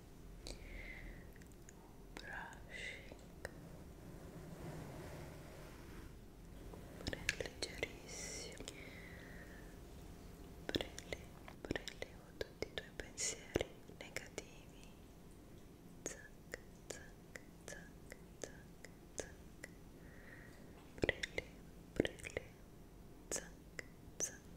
brushing leggerissimo prelevo tutti i tuoi pensieri negativi zac zac zac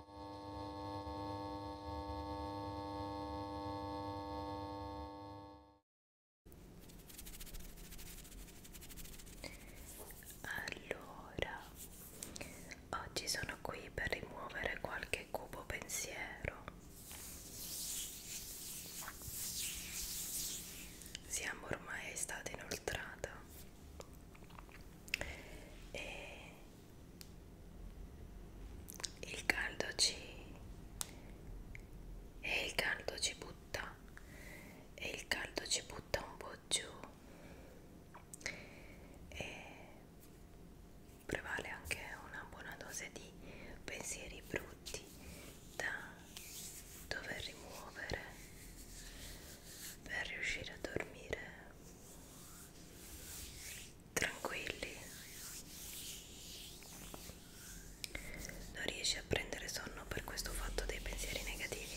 Allora, oggi sono qui per rimuovere qualche cubo pensiero. Siamo ormai a estate inoltrata e il caldo ci e il caldo ci butta e il caldo ci butta un po' giù e prevale anche una buona dose di pensieri brutti da dover rimuovere per riuscire a dormire tranquilli non riesci a prendere sonno per questo fatto dei pensieri negativi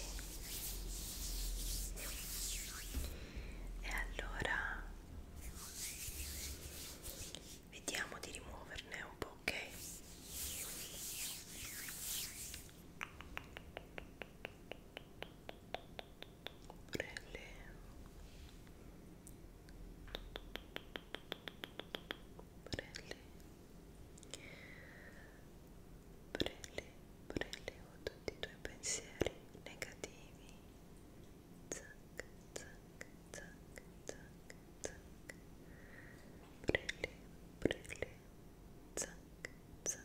e allora vediamo di rimuoverne un po' ok prelevo prelevo prelevo prelevo tutti i tuoi pensieri negativi zac zac zac zac zac prelevo prelevo zac zac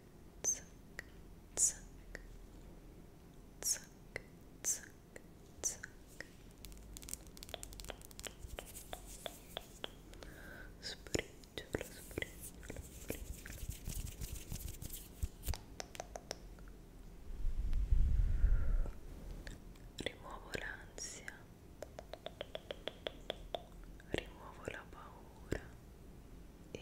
zac, zac, zac, zac, zac. Sbriciolo, sbriciolo, sbriciolo. Rimuovo l'ansia, rimuovo la paura e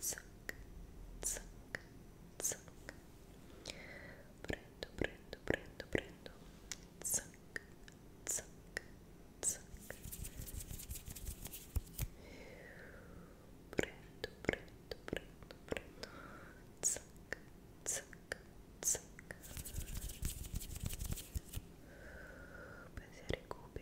zac, zac, zac. Prendo, prendo, prendo, prendo. Zac, zac, zac. Prendo, prendo, prendo, prendo. Zac, zac, zac. Pensieri cubi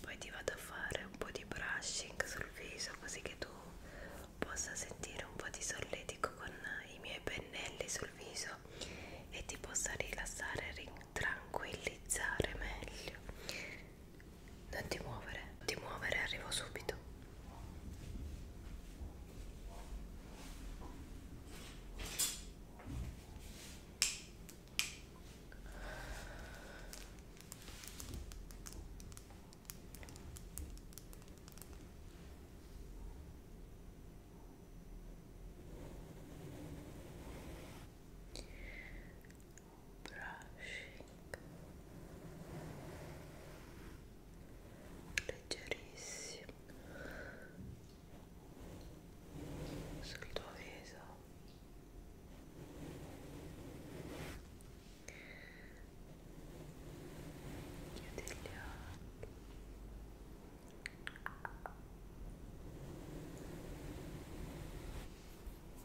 Poi ti vado a fare un po' di brushing sul viso così che tu possa sentire un po' di solletico con i miei pennelli sul viso e ti possa rilassare e tranquillizzare meglio non ti muovere, non ti muovere, arrivo subito brushing leggerissimo sul tuo viso chiudi gli occhi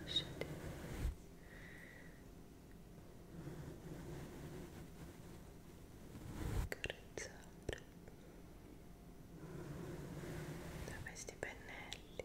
Lasciate. Carezzare da questi pennelli.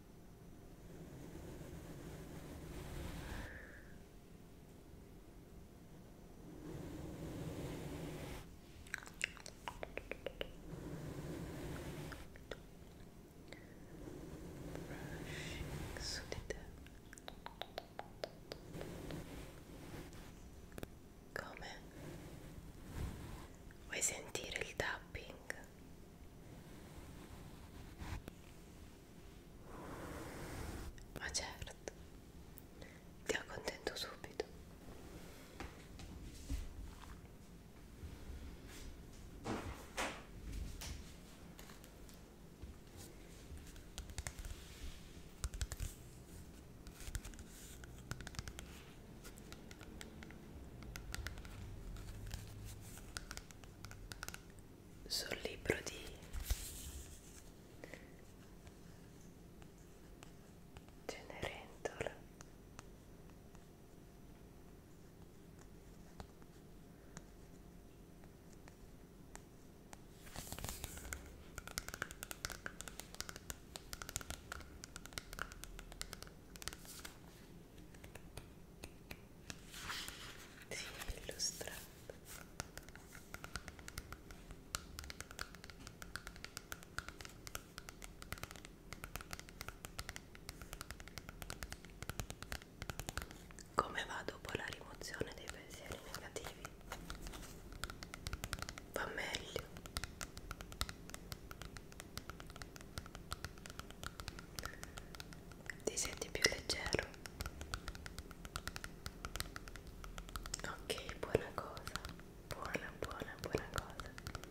brushing su di te come vuoi sentire il tapping? Ma certo, ti accontento subito sul libro di Cenerentola si è illustrato come va dopo la rimozione dei pensieri negativi? Va meglio ti senti più leggero ok buona cosa buona buona buona cosa ok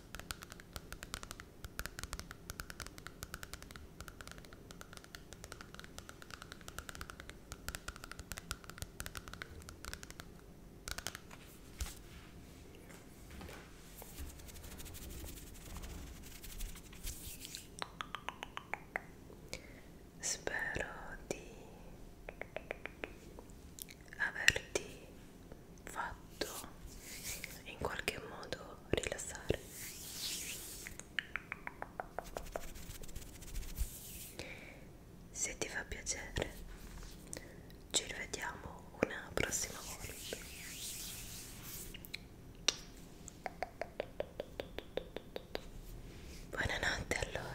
Spero di averti fatto in qualche modo rilassare se ti fa piacere ci rivediamo una prossima volta buonanotte allora